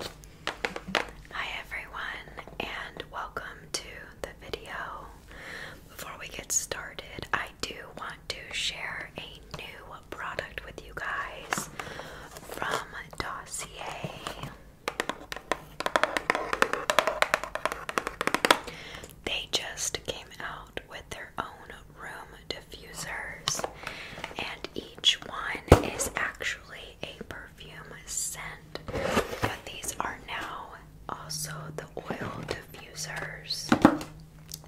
Hi everyone and welcome to the video. Before we get started, I do want to share a new product with you guys from Dossier. They just came out with their own room diffusers and each one is actually a perfume scent, but these are now also the oil diffusers.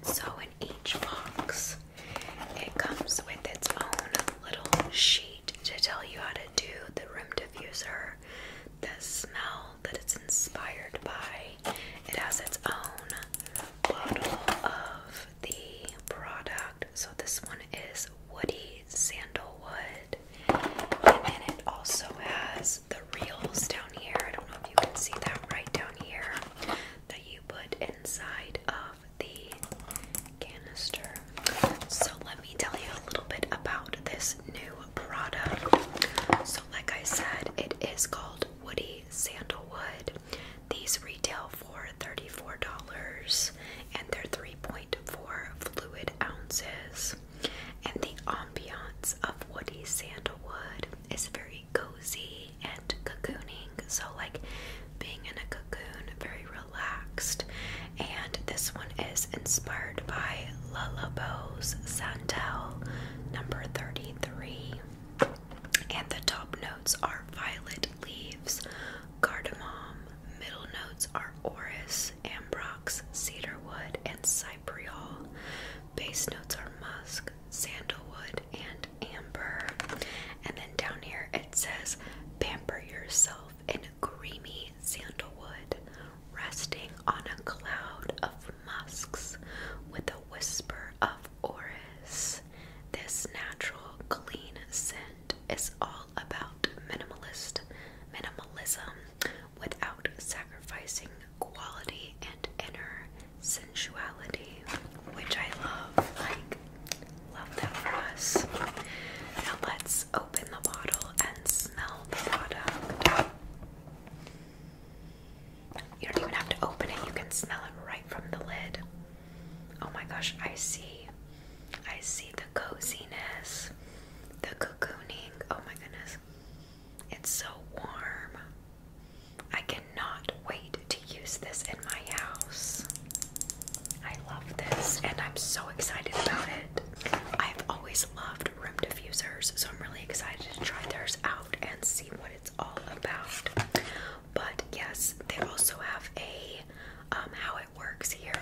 So, in each box, it comes with its own little sheet to tell you how to do the room diffuser, the smell that it's inspired by. It has its own bottle of the product. So this one is woody sandalwood. And it also has the reels down here. I don't know if you can see that right down here that you put inside of the canister. So let me tell you a little bit about this new product. So like I said, it is called Woody Sandalwood. These retail for $34 and they're 3.4 fluid ounces. And the ambiance of woody sandalwood is very cozy and cocooning. So, like being in a cocoon, very relaxed. And this one is inspired by Lullabo's Santel number 33. And the top notes are violet leaves, Cardamom. Middle notes are orris, ambrox, cedarwood, and cypriol. Base notes are musk, sandalwood, and amber. And then down here it says pamper yourself in creamy sandalwood, resting on a cloud of musks with a whisper of orris. This natural, clean scent is all about minimalist minimalism without sacrificing quality and inner sensuality, which I love. Like, love that for us. Now let's open the bottle and smell the product. You don't even have to open it, you can smell it right from the lid. Oh my gosh, I see. I see the coziness, the cocooning. Oh my goodness. It's so warm. I cannot wait to use this in my house. I love this and I'm so excited about it. I've always loved room diffusers, so I'm really excited to try theirs out and see what it's all about. But yes, they also have a um, how it works here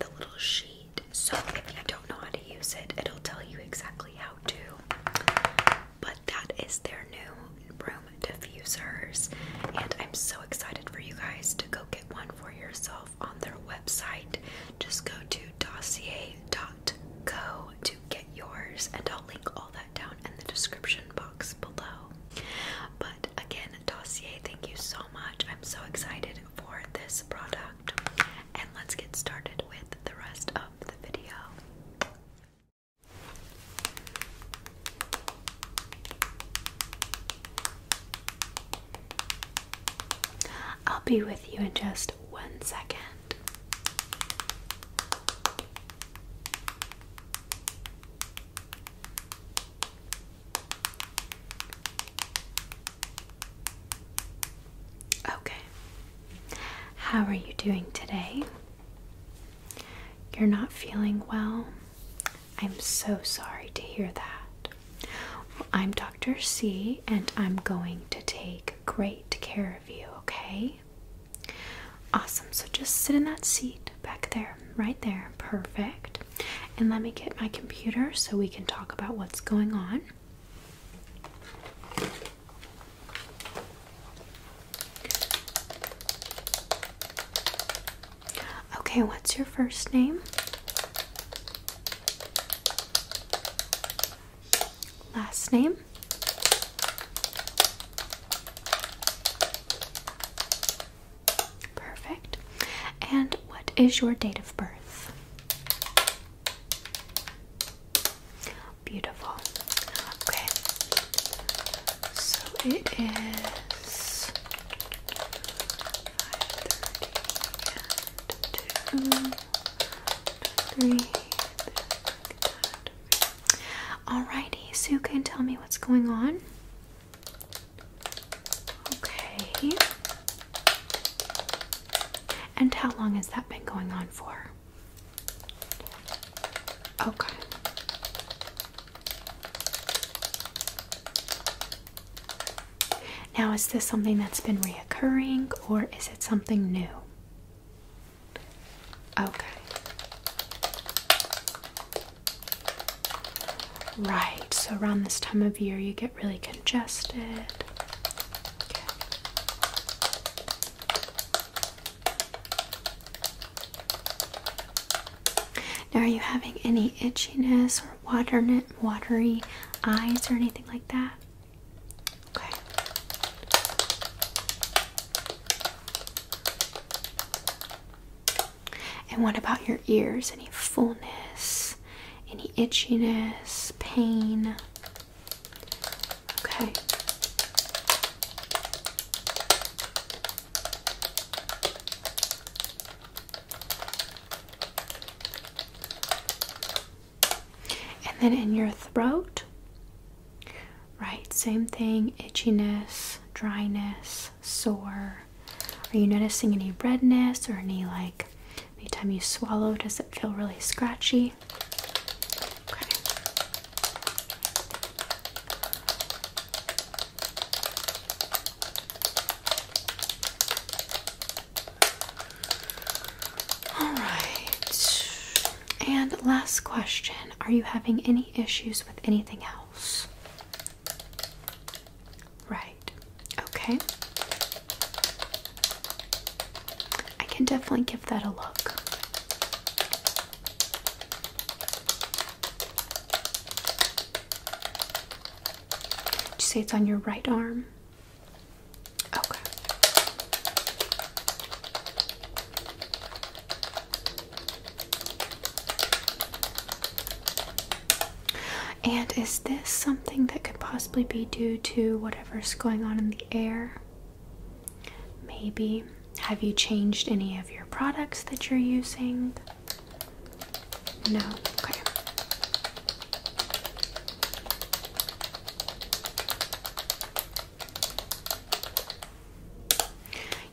the little sheet. So if you don't know how to use it, it'll tell you exactly how to. But that is their new room diffusers, and I'm so excited for you guys to go get one for yourself on their website. Just go to dossier.co to get yours, and I'll link all that down in the description box below. But again, Dossier, thank you so much. I'm so excited for this product. And let's get started with the rest of the video. I'll be with you in just one second. Okay. How are you doing today? You're not feeling well? I'm so sorry to hear that. I'm Dr. C, and I'm going to take great care of you, okay? Awesome. So just sit in that seat back there, right there. Perfect. And let me get my computer so we can talk about what's going on. Okay, what's your first name? Last name? Perfect. And what is your date of birth? Beautiful. Okay. So it is 5:30 around. Alrighty, so you can tell me what's going on. Okay. And how long has that been going on for? Okay. Now, is this something that's been reoccurring or is it something new? Okay. Right, so around this time of year you get really congested. Now, are you having any itchiness or watery eyes or anything like that? Okay. And what about your ears? Any fullness? Any itchiness? Pain? Okay. And then in your throat, Right, same thing itchiness, dryness, sore. Are you noticing any redness or any like anytime you swallow, does it feel really scratchy? All right. And last question Are you having any issues with anything else? Right. Okay. I can definitely give that a look. you say it's on your right arm? Okay. And is this something that could possibly be due to whatever's going on in the air? Maybe. Have you changed any of your products that you're using? No. Okay.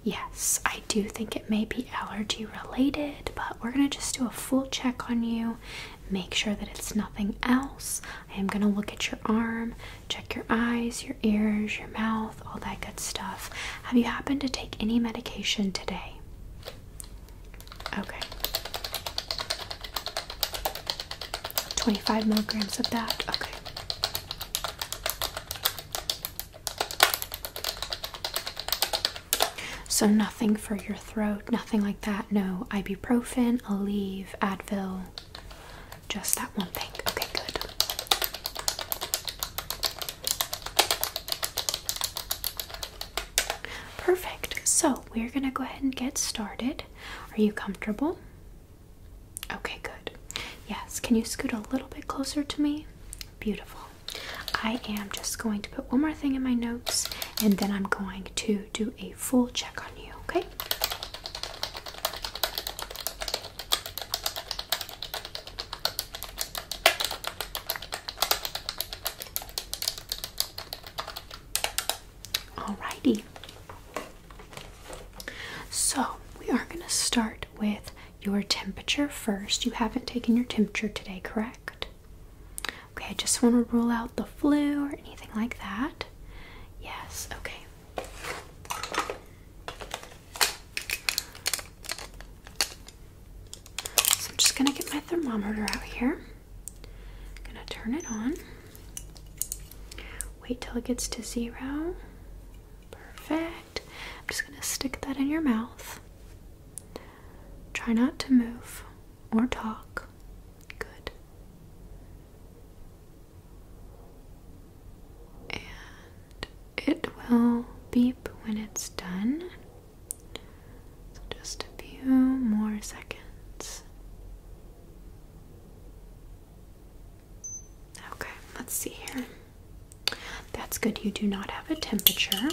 Yes, I do think it may be allergy related, but we're going to just do a full check on you. Make sure that it's nothing else. I am going to look at your arm, check your eyes, your ears, your mouth, all that good stuff. Have you happened to take any medication today? Okay. 25 milligrams of that. Okay. So, nothing for your throat, nothing like that. No ibuprofen, Aleve, Advil, just that one thing. Okay, good. Perfect. So, we're going to go ahead and get started. Are you comfortable? Okay, good. Yes, can you scoot a little bit closer to me? Beautiful. I am just going to put one more thing in my notes and then I'm going to do a full check on you, okay? Alrighty. So, we are going to start with your temperature first. You haven't taken your temperature today, correct? Okay, I just want to rule out the flu or anything like that. Yes, okay. So, I'm just going to get my thermometer out here. I'm going to turn it on. Wait till it gets to zero. Perfect. I'm just going to stick that in your mouth. Try not to move or talk. Good. And it will beep when it's done. just a few more seconds. Okay, let's see here. That's good, you do not have a temperature.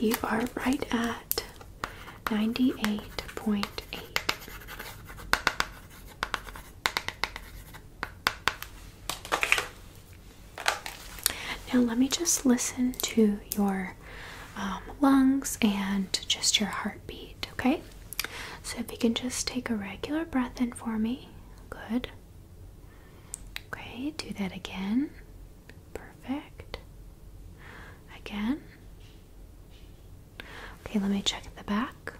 You are right at 98.8. Now, let me just listen to your um, lungs and just your heartbeat, okay? So, if you can just take a regular breath in for me, good. Okay, do that again. Perfect. Again. Okay, let me check the back.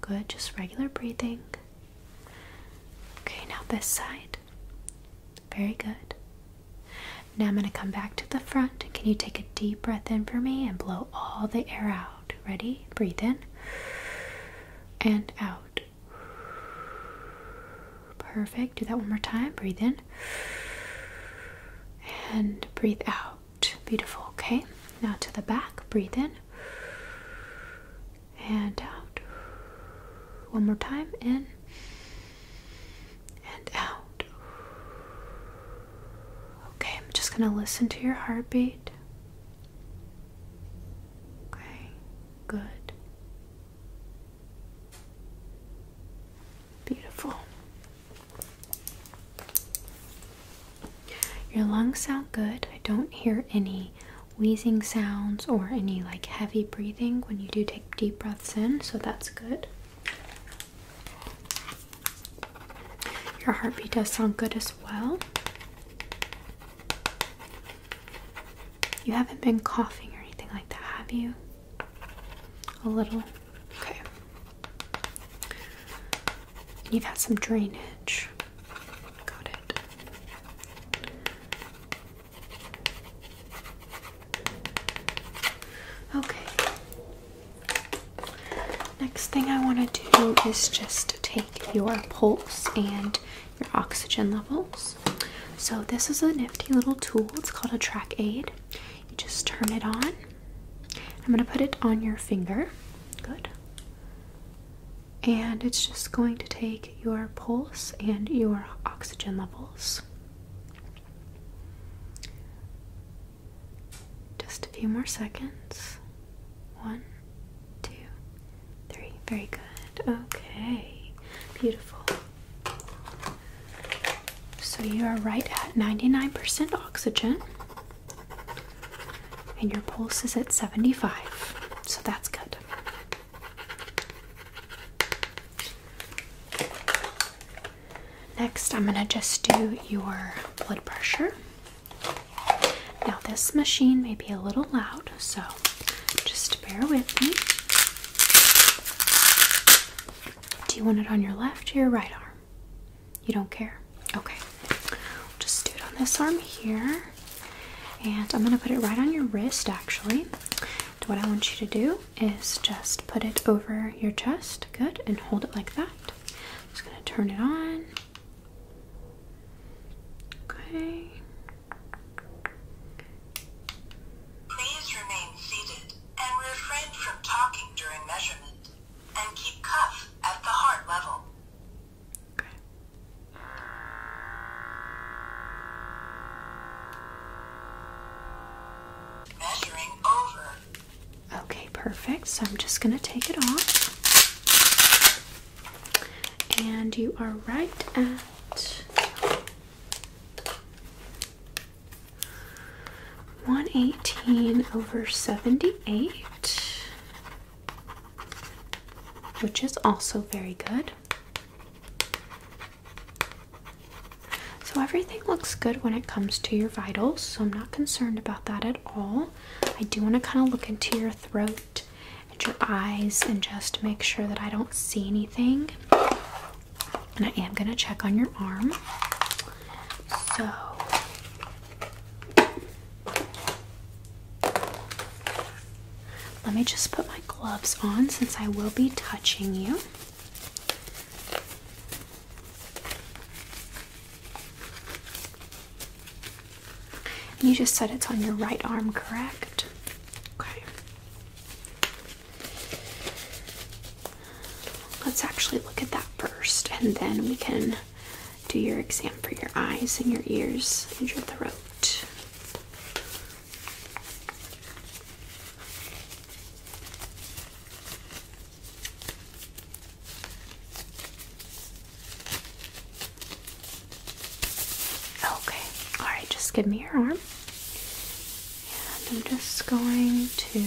Good, just regular breathing. Okay, now this side. Very good. Now I'm going to come back to the front. Can you take a deep breath in for me and blow all the air out? Ready? Breathe in and out. Perfect. Do that one more time. Breathe in and breathe out. Beautiful. Okay. Now to the back. Breathe in and out. Um, one more time, in and out. Okay, I'm just going to listen to your heartbeat. Okay, good. Beautiful. Your lungs sound good. I don't hear any wheezing sounds or any like heavy breathing when you do take deep breaths in, so that's good. Your heartbeat does sound good as well. You haven't been coughing or anything like that, have you? A little. Okay. And you've had some drainage. Got it. Okay. Next thing I want to do is just take your pulse and your oxygen levels. So, this is a nifty little tool. It's called a track aid. You just turn it on. I'm going to put it on your finger. Good and it's just going to take your pulse and your oxygen levels. Just a few more seconds. One, two, three. Very good. Okay, beautiful. So you are right at 99% oxygen, and your pulse is at 75. So that's good. Next, I'm going to just do your blood pressure. Now, this machine may be a little loud, so just bear with me. Do you want it on your left or your right arm? You don't care? Okay. just do it on this arm here. And I'm going to put it right on your wrist actually. what I want you to do is just put it over your chest, good, and hold it like that. just going to turn it on. Okay. Please remain seated and refrain from talking during measurement and keep cuff at the heart level. Okay. Okay, perfect. So I'm just going to take it off. And you are right at 118 over 78, which is also very good. So everything looks good when it comes to your vitals, so I'm not concerned about that at all. I do want to kind of look into your throat and your eyes and just make sure that I don't see anything. And I am going to check on your arm. So let me just put my gloves on since I will be touching you. You just said it's on your right arm, correct? Okay. Let's actually look at that first, and then we can do your exam for your eyes and your ears and your throat. Okay, all right, just give me your arm. And I'm just going to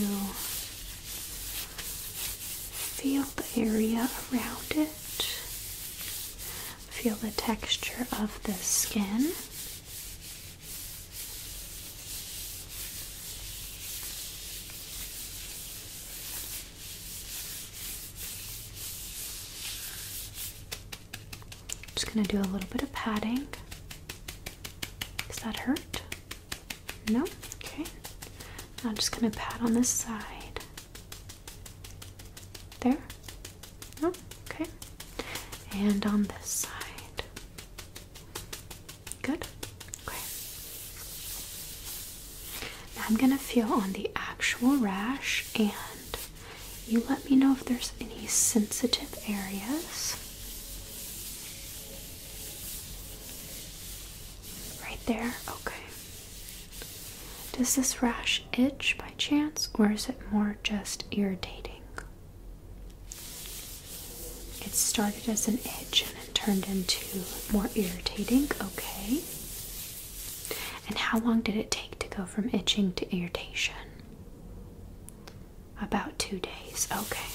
feel the area around it. Feel the texture of the skin. Just going to do a little bit of padding. Does that hurt? No? Okay. I'm just going to pat on this side. There? Oh, okay. And on this side. Good? Okay. I'm going to feel on the actual rash and you let me know if there's any sensitive areas. Right there? Okay. Does this rash itch by chance, or is it more just irritating? It started as an itch and it turned into more irritating, okay. And how long did it take to go from itching to irritation? About two days, okay.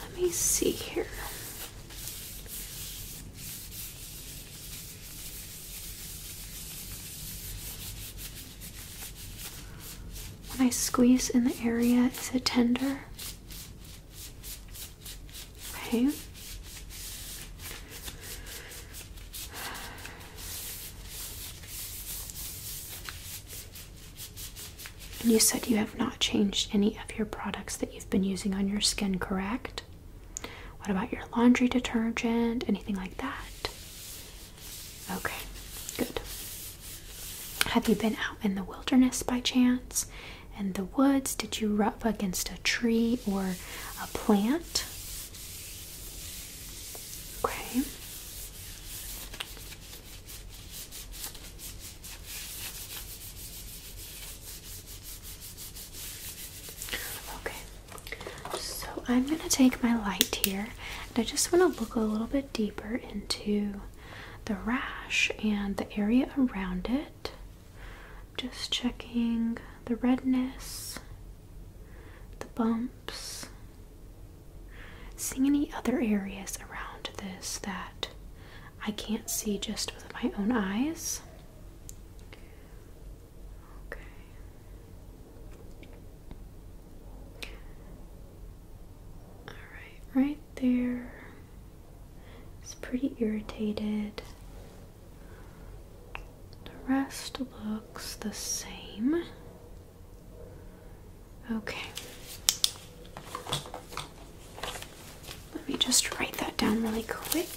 Let me see here. When I squeeze in the area, is it tender? Okay. you said you have not changed any of your products that you've been using on your skin, correct? What about your laundry detergent? Anything like that? Okay, good. Have you been out in the wilderness by chance? In the woods? Did you rub against a tree or a plant? Okay. Okay, so I'm going to take my light here and I just want to look a little bit deeper into the rash and the area around it. Just checking the redness, the bumps, seeing any other areas around this that I can't see just with my own eyes. Okay. All right, right there. It's pretty irritated. The rest looks the same. Okay. Let me just write that down really quick.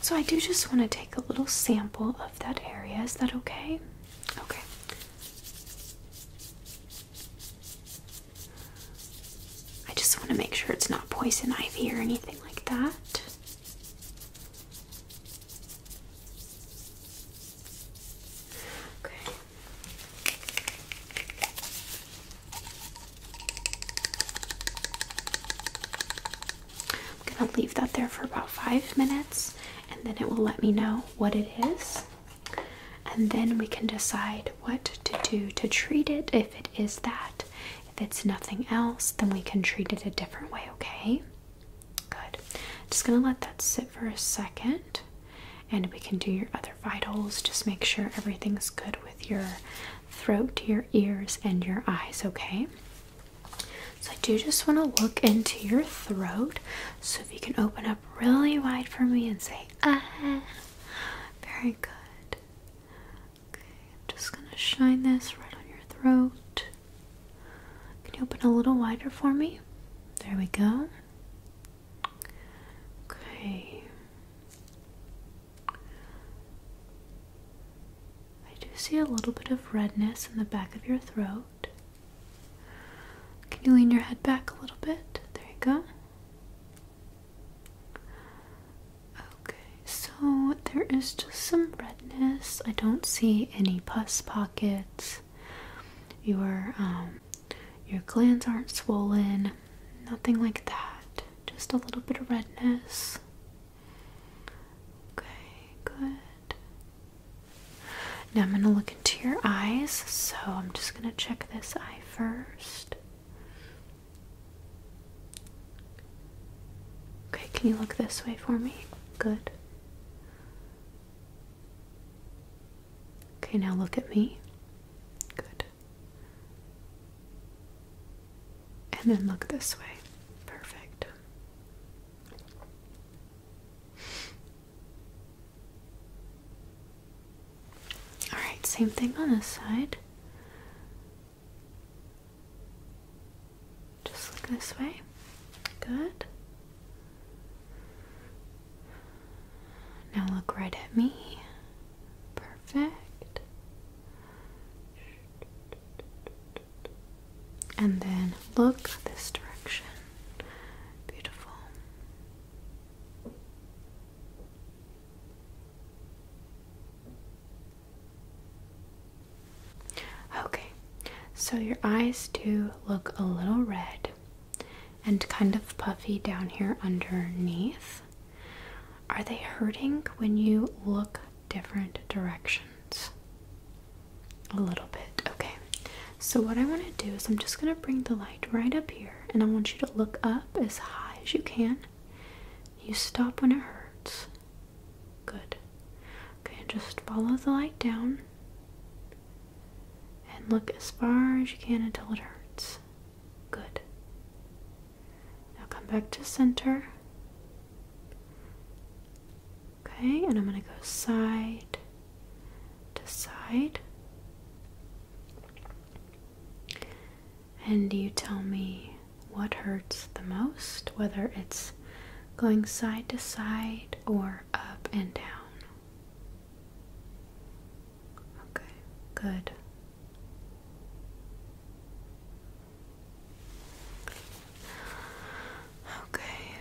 So I do just want to take a little sample of that area. Is that okay? Okay. I just want to make sure it's not poison ivy or anything like that. Okay. I'm going to leave that there for about five minutes and then it will let me know what it is. And then we can decide what to do to treat it if it is that. If it's nothing else, then we can treat it a different way, okay? Good. Just gonna let that sit for a second and we can do your other vitals. Just make sure everything's good with your throat, your ears, and your eyes, okay? So I do just want to look into your throat. So if you can open up really wide for me and say ah. Very good. Okay, I'm just going to shine this right on your throat. Can you open a little wider for me? There we go. Okay. I do see a little bit of redness in the back of your throat. Can you lean your head back a little bit? There you go. Okay, so there is just some redness. I don't see any pus pockets. Your um your glands aren't swollen. Nothing like that. Just a little bit of redness. Okay, good. Now I'm going to look into your eyes, so I'm just going to check this eye first. Okay, can you look this way for me? Good. Okay, now look at me. Good. And then look this way. Perfect. Alright, same thing on this side. Just look this way. Good. Now look right at me. Perfect. And then look this direction. Beautiful. Okay, so your eyes do look a little red and kind of puffy down here underneath. Are they hurting when you look different directions a little bit. Okay, so what I want to do is I'm just going to bring the light right up here and I want you to look up as high as you can. You stop when it hurts. Good. Okay, just follow the light down and look as far as you can until it hurts. Good. Now come back to center. Okay, and I'm going to go side to side. And you tell me what hurts the most, whether it's going side to side or up and down. Okay, good. Okay,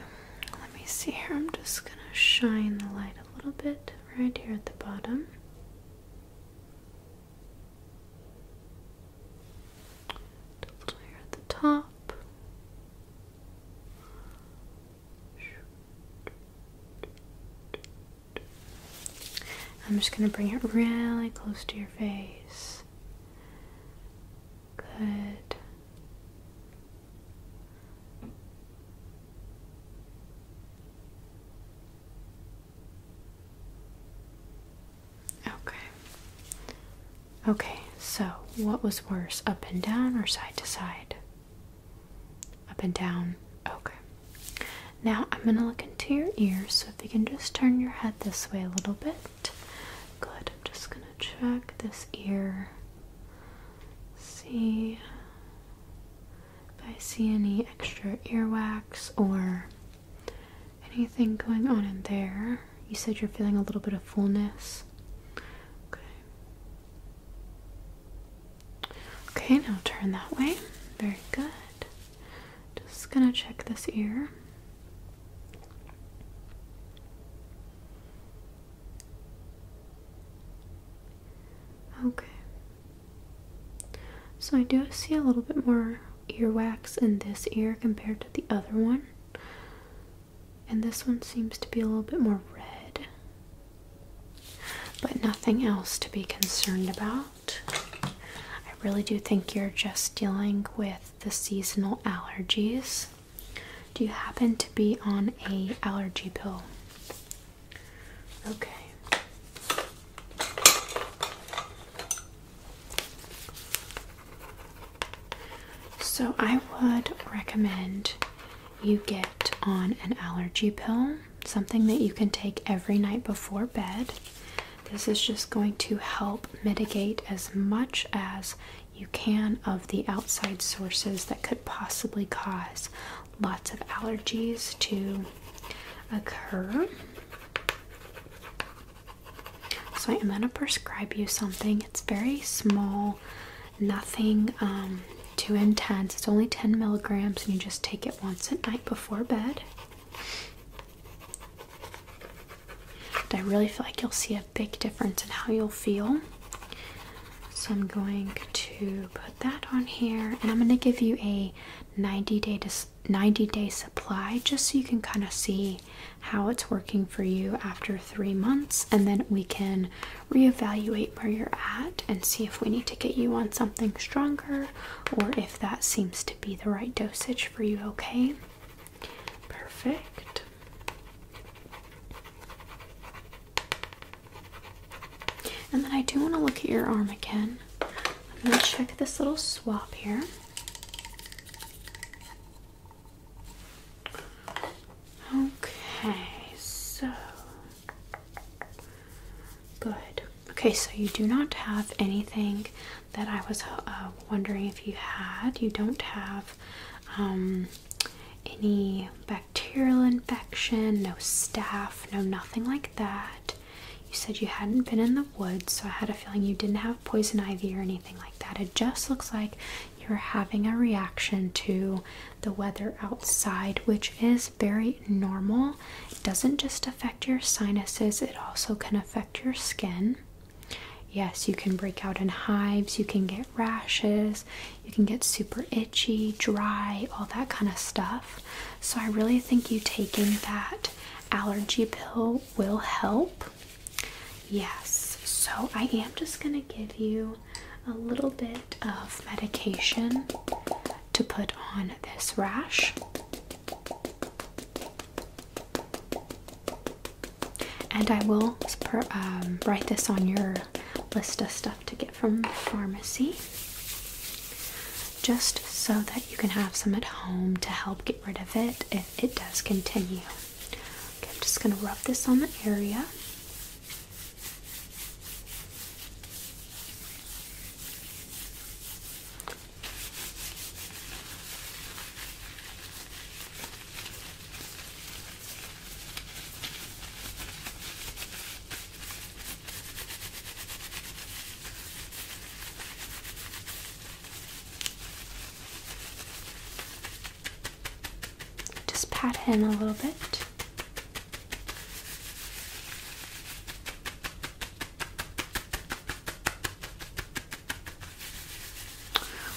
let me see here. I'm just going to shine the light a little bit right here at the bottom. A little here at the top. I'm just going to bring it really close to your face. Good. Okay. Okay, so what was worse, up and down or side to side? Up and down. Okay. Now I'm going to look into your ears, so if you can just turn your head this way a little bit. Good. I'm just gonna check this ear. See if I see any extra earwax or anything going on in there. You said you're feeling a little bit of fullness. Okay. Okay, now turn that way. Very good. Just gonna check this ear. Okay. So I do see a little bit more earwax in this ear compared to the other one. And this one seems to be a little bit more red. But nothing else to be concerned about. I really do think you're just dealing with the seasonal allergies. Do you happen to be on a allergy pill? Okay. So I would recommend you get on an allergy pill, something that you can take every night before bed. This is just going to help mitigate as much as you can of the outside sources that could possibly cause lots of allergies to occur. So, I'm going to prescribe you something. It's very small, nothing um, too intense. It's only 10 milligrams, and you just take it once at night before bed. I really feel like you'll see a big difference in how you'll feel. So I'm going to put that on here and I'm going to give you a 90 day 90 day supply just so you can kind of see how it's working for you after 3 months and then we can reevaluate where you're at and see if we need to get you on something stronger or if that seems to be the right dosage for you okay Perfect. And then I do want to look at your arm again. I'm going to check this little swap here. Okay, so good. Okay, so you do not have anything that I was uh, wondering if you had. You don't have um, any bacterial infection, no staph, no nothing like that. You said you hadn't been in the woods, so I had a feeling you didn't have poison ivy or anything like that. It just looks like you're having a reaction to the weather outside, which is very normal. It doesn't just affect your sinuses, it also can affect your skin. Yes, you can break out in hives, you can get rashes, you can get super itchy, dry, all that kind of stuff. So, I really think you taking that allergy pill will help. Yes, so I am just going to give you a little bit of medication to put on this rash. And I will um, write this on your list of stuff to get from the pharmacy just so that you can have some at home to help get rid of it if it does continue. I'm just going to rub this on the area. Just pat in a little bit.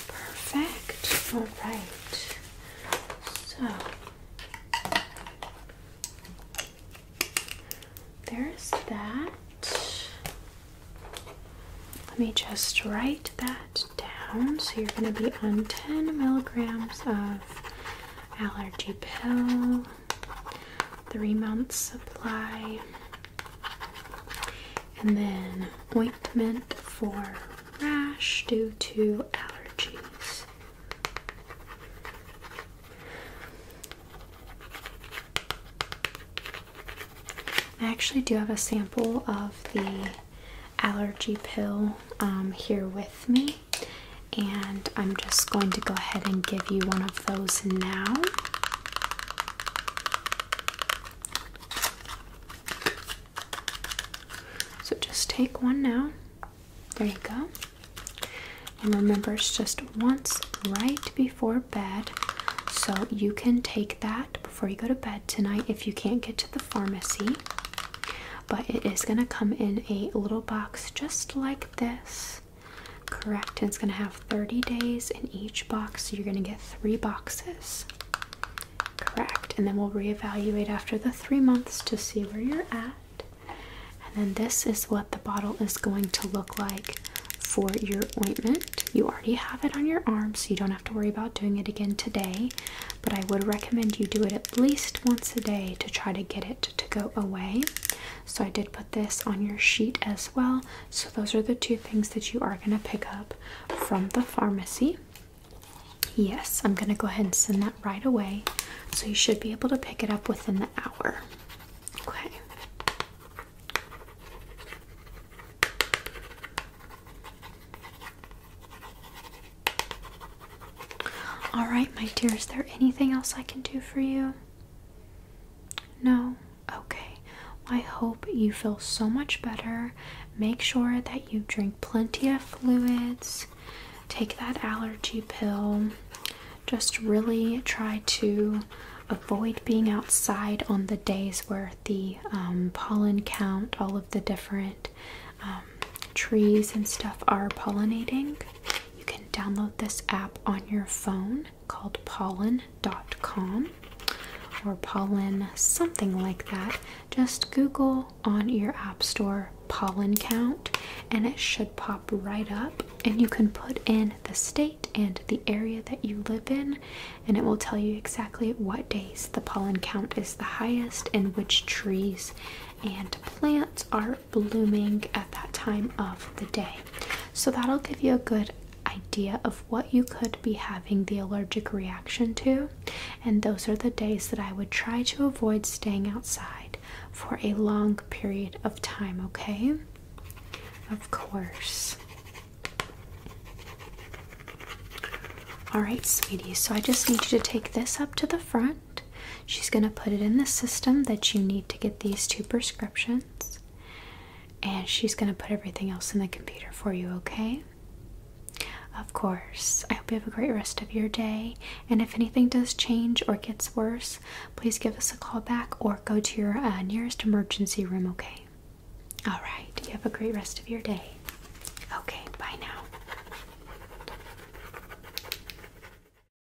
Perfect. All right. So there's that. Let me just write that down. So you're going to be on 10 milligrams of allergy pill three months supply. And then ointment for rash due to allergies. I actually do have a sample of the allergy pill um, here with me, and I'm just going to go ahead and give you one of those now. So just take one now. There you go. And remember, it's just once right before bed. So you can take that before you go to bed tonight if you can't get to the pharmacy. But it is going to come in a little box just like this. Correct. And it's going to have 30 days in each box. So you're going to get three boxes. Correct. And then we'll reevaluate after the three months to see where you're at. And then this is what the bottle is going to look like for your ointment. You already have it on your arm, so you don't have to worry about doing it again today. But I would recommend you do it at least once a day to try to get it to go away. So I did put this on your sheet as well. So those are the two things that you are going to pick up from the pharmacy. Yes, I'm going to go ahead and send that right away. So you should be able to pick it up within the hour. Okay. All right, my dear, is there anything else I can do for you? No? Okay. I hope you feel so much better. Make sure that you drink plenty of fluids, take that allergy pill. Just really try to avoid being outside on the days where the um, pollen count, all of the different um, trees and stuff are pollinating. You can download this app on your phone called pollen.com or pollen something like that. Just Google on your app store pollen count and it should pop right up and you can put in the state and the area that you live in and it will tell you exactly what days the pollen count is the highest and which trees and plants are blooming at that time of the day so that'll give you a good idea of what you could be having the allergic reaction to and those are the days that I would try to avoid staying outside for a long period of time okay of course all right sweetie so I just need you to take this up to the front She's going to put it in the system that you need to get these two prescriptions. And she's going to put everything else in the computer for you, okay? Of course. I hope you have a great rest of your day. And if anything does change or gets worse, please give us a call back or go to your uh, nearest emergency room, okay? All right. You have a great rest of your day. Okay, bye now.